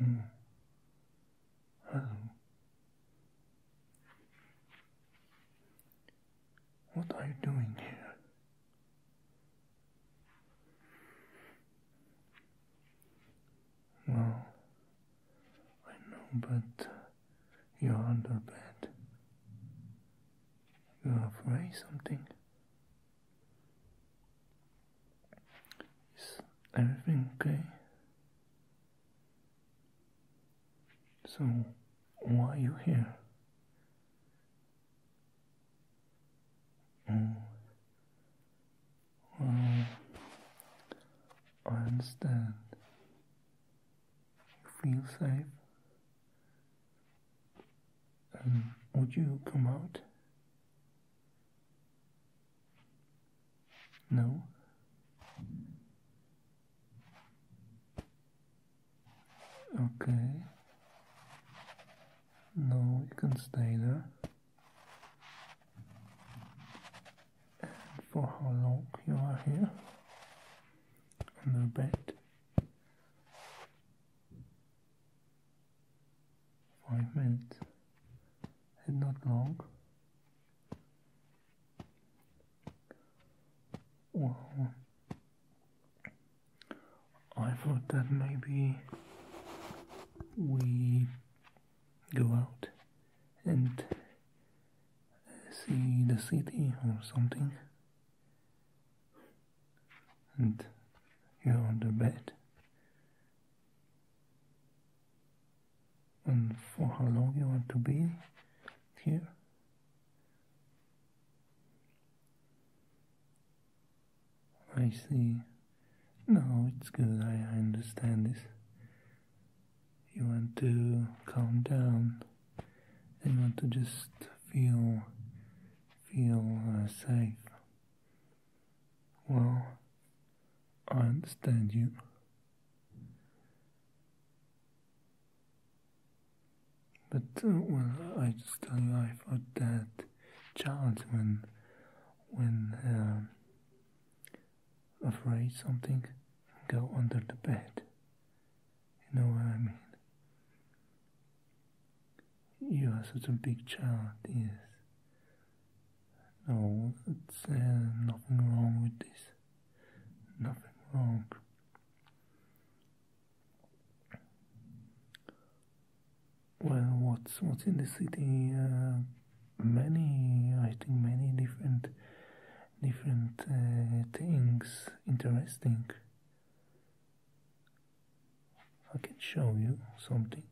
Mm. Hello. What are you doing here? Well, I know, but you're under bed. You're afraid something. Is everything okay? So, why you here? Oh, mm. well, mm. I understand. You feel safe. And would you come out? No? Okay. No, you can stay there. for how long you are here? Under bed. Five minutes. And not long. Wow. I thought that maybe we go out and see the city or something. And you're on the bed. And for how long you want to be here? I see. No, it's good. I, understand this. You want to calm down. You want to just feel, feel uh, safe. Well, I understand you. But uh, well, I just tell you, I thought that child when when uh, afraid something, go under the bed. You know what I mean? You are such a big child, yes. No, it's uh, nothing wrong with this. Nothing wrong well what's what's in the city uh, many i think many different different uh, things interesting i can show you something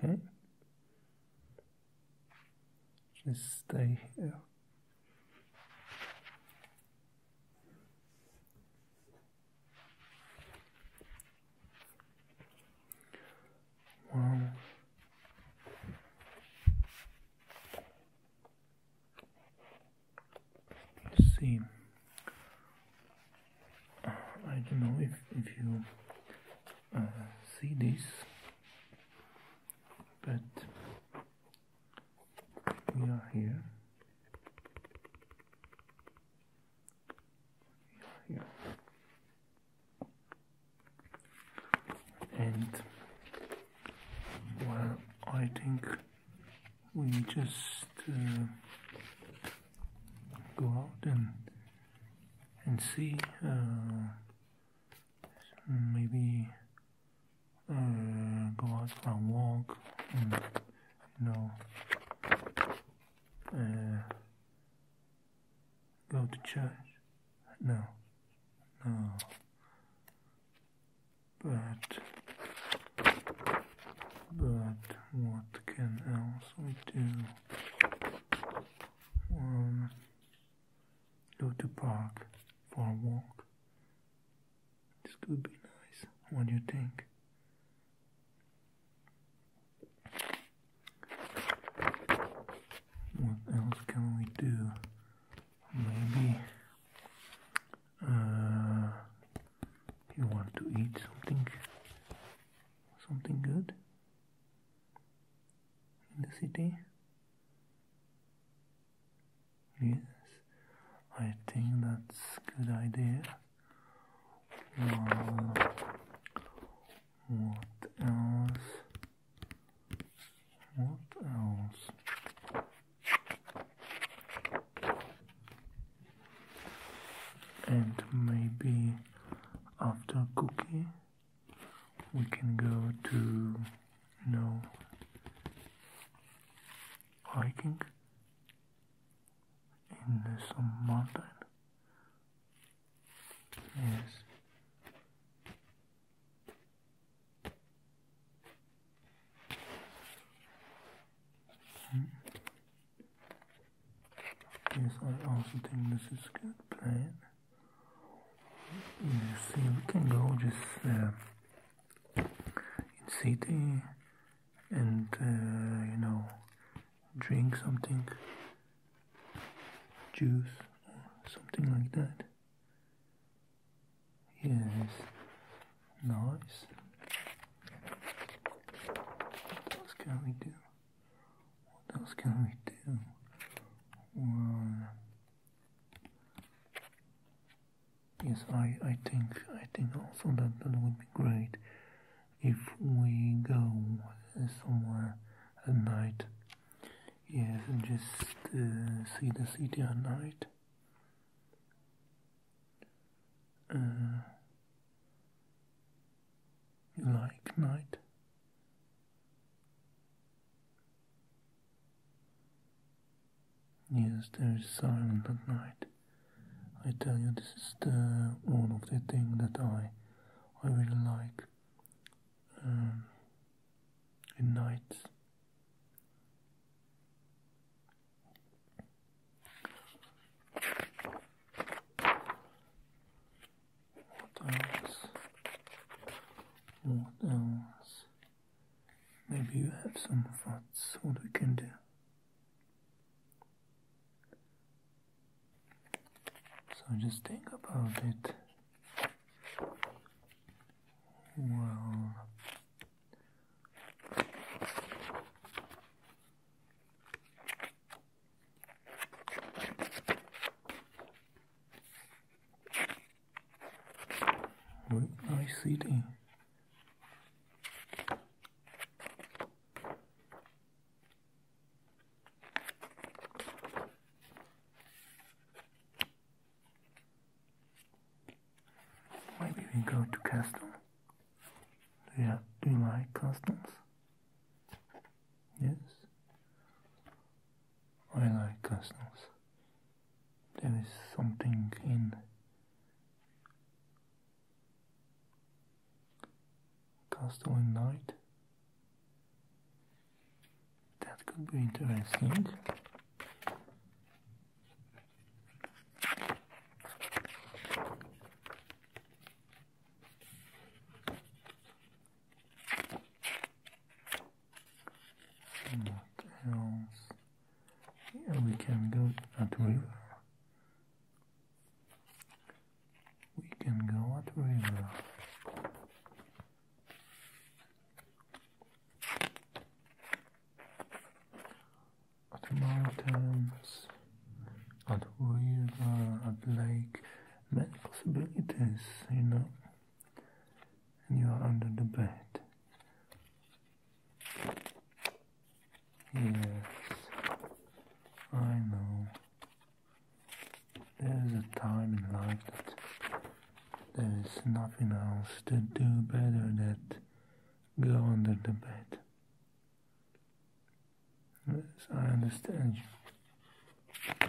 okay just stay here Wow. let see. Uh, I don't know if if you uh, see this, but we are here and well I think we just uh, go out and and see uh, maybe uh, go out for a walk no. Uh, go to church. No, no. But, but what can else we do? Um, go to park for a walk. This could be nice. What do you think? What else can we do? Maybe uh, you want to eat something, something good in the city. Yes, I think that's good idea what else? What else? And maybe after cooking, we can go to no know, hiking in some mountain. Yes. Hmm. Yes, I also think this is good plan. You see, we can go just uh, in city and uh, you know drink something juice or something like that yes nice what else can we do what else can we do well, yes, I, I think I think also that that would be great if we go somewhere at night. Yes, and just uh, see the city at night. Uh, like night? Yes, there is silence at night. I tell you, this is the one of the thing that I I really like um, in nights. What else? What else? Maybe you have some thoughts what we can do. So just think about it well nice city. Maybe we go to custom. Do you, do you like castles? Yes? I like castles. There is something in Castle and Knight. That could be interesting. What else? we can go at river. We can go at river. At mountains, uh, at river, at lake, many possibilities, you know. And you are under the bed. Yes, I know. There is a time in life that there is nothing else to do better than go under the bed. Yes, I understand you.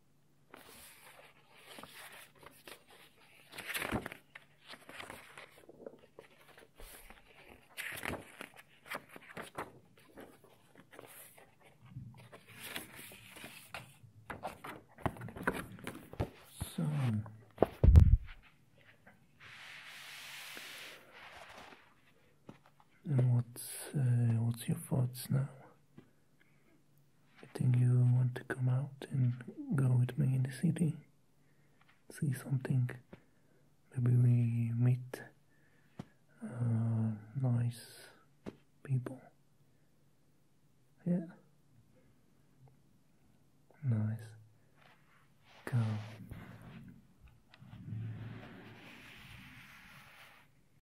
So what's uh, what's your thoughts now? I think you want to come out and go with me in the city, see something. Maybe we meet uh, nice people. Yeah. Nice. Go.